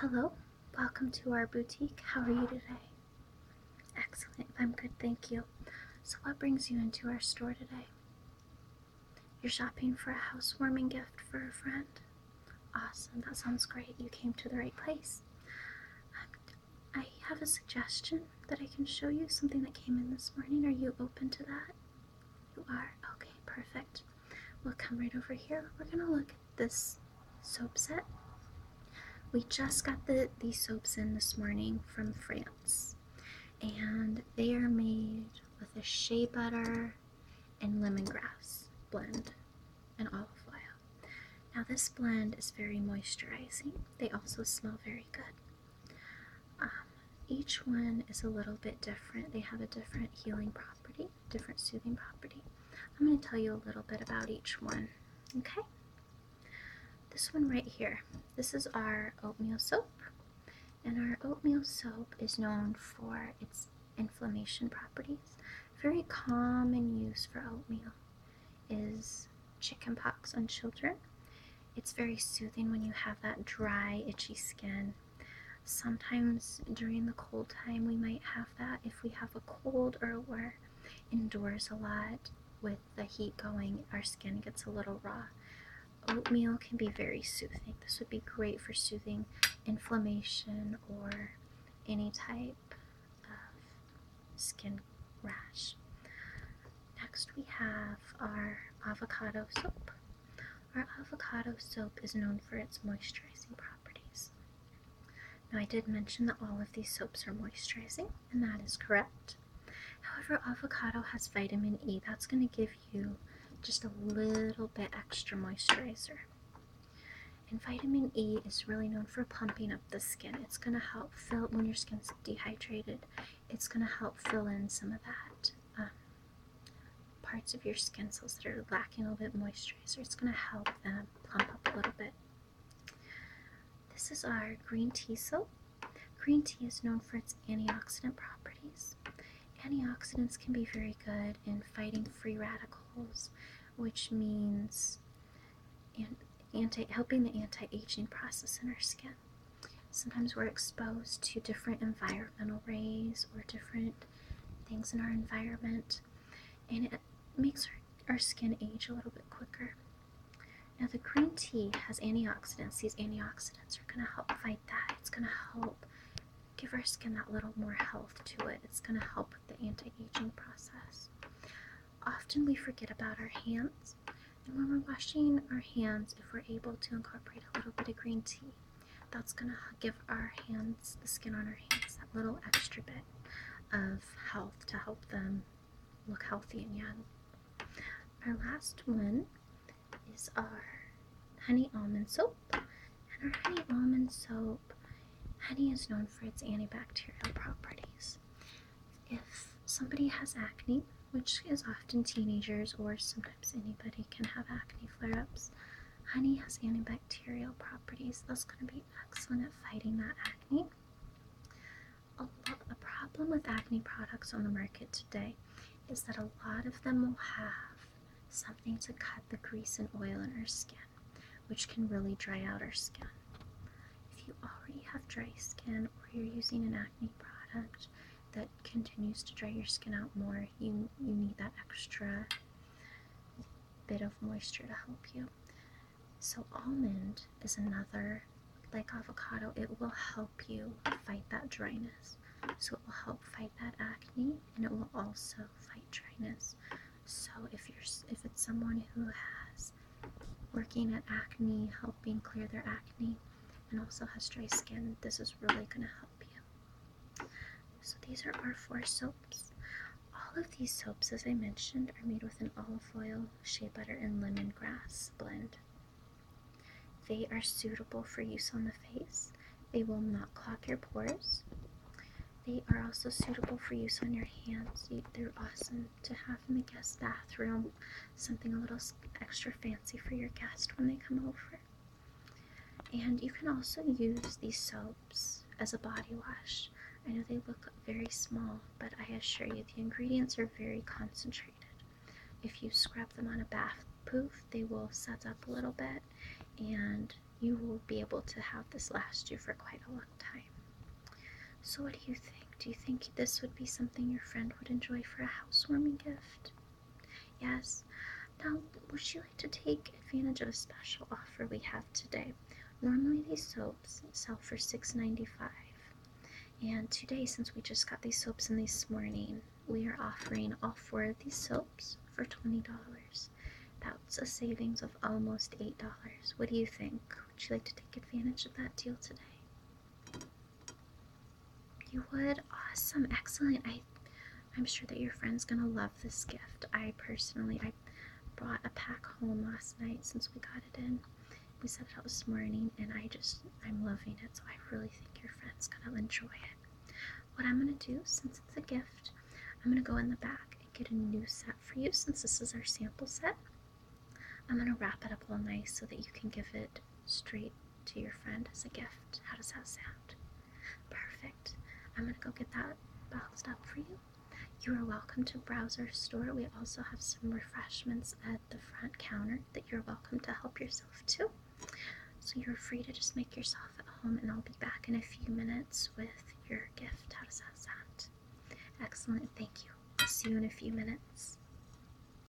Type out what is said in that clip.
Hello, welcome to our boutique. How are you today? Excellent, I'm good, thank you. So, what brings you into our store today? You're shopping for a housewarming gift for a friend? Awesome, that sounds great. You came to the right place. Um, I have a suggestion that I can show you something that came in this morning. Are you open to that? You are? Okay, perfect. We'll come right over here. We're gonna look at this soap set. We just got the these soaps in this morning from France, and they are made with a shea butter and lemongrass blend and olive oil. Now this blend is very moisturizing. They also smell very good. Um, each one is a little bit different. They have a different healing property. Different soothing property. I'm going to tell you a little bit about each one, okay? This one right here. This is our oatmeal soap. And our oatmeal soap is known for its inflammation properties. Very common use for oatmeal is chicken pox on children. It's very soothing when you have that dry, itchy skin. Sometimes during the cold time, we might have that if we have a cold or we're indoors a lot with the heat going, our skin gets a little raw. Oatmeal can be very soothing. This would be great for soothing inflammation or any type of skin rash. Next, we have our avocado soap. Our avocado soap is known for its moisturizing properties. Now, I did mention that all of these soaps are moisturizing, and that is correct. However, avocado has vitamin E. That's going to give you just a little bit extra moisturizer. And vitamin E is really known for pumping up the skin. It's going to help fill, when your skin's dehydrated, it's going to help fill in some of that um, parts of your skin cells that are lacking a little bit moisturizer. It's going to help them plump up a little bit. This is our green tea soap. Green tea is known for its antioxidant properties. Antioxidants can be very good in fighting free radicals, which means anti helping the anti-aging process in our skin. Sometimes we're exposed to different environmental rays or different things in our environment, and it makes our, our skin age a little bit quicker. Now, the green tea has antioxidants. These antioxidants are going to help fight that. It's going to help give our skin that little more health to it. It's going to help with the anti aging process. Often we forget about our hands, and when we're washing our hands, if we're able to incorporate a little bit of green tea, that's going to give our hands, the skin on our hands, that little extra bit of health to help them look healthy and young. Our last one is our honey almond soap. And our honey almond soap, honey is known for its antibacterial properties. If somebody has acne, which is often teenagers or sometimes anybody can have acne flare ups. Honey has antibacterial properties, that's going to be excellent at fighting that acne. A, lot, a problem with acne products on the market today is that a lot of them will have something to cut the grease and oil in our skin, which can really dry out our skin. If you already have dry skin or you're using an acne product that continues to dry your skin out more, you you need that extra bit of moisture to help you. So almond is another like avocado, it will help you fight that dryness. So it will help fight that acne and it will also fight dryness. So if you're if it's someone who has working at acne, helping clear their acne and also has dry skin, this is really going to help you. So these are our four soaps. All of these soaps, as I mentioned, are made with an olive oil, shea butter, and lemon grass blend. They are suitable for use on the face. They will not clog your pores. They are also suitable for use on your hands. They're awesome to have in the guest bathroom, something a little extra fancy for your guest when they come over. And you can also use these soaps as a body wash. I know they look very small, but I assure you the ingredients are very concentrated. If you scrub them on a bath poof, they will set up a little bit and you will be able to have this last you for quite a long time. So, what do you think? Do you think this would be something your friend would enjoy for a housewarming gift? Yes. Now, would you like to take advantage of a special offer we have today? Normally, these soaps sell for $6.95. And today, since we just got these soaps in this morning, we are offering all four of these soaps for $20. That's a savings of almost $8. What do you think? Would you like to take advantage of that deal today? You would? Awesome. Excellent. I I'm sure that your friend's gonna love this gift. I personally I brought a pack home last night since we got it in. We set it out this morning and I just I'm loving it, so I really think your friend's gonna enjoy it. What I'm gonna do, since it's a gift, I'm gonna go in the back and get a new set for you since this is our sample set. I'm gonna wrap it up all nice so that you can give it straight to your friend as a gift. How does that sound? Perfect. I'm going to go get that boxed up for you. You are welcome to browse our store. We also have some refreshments at the front counter that you're welcome to help yourself to. So you're free to just make yourself at home, and I'll be back in a few minutes with your gift. How does that sound? Excellent. Thank you. See you in a few minutes.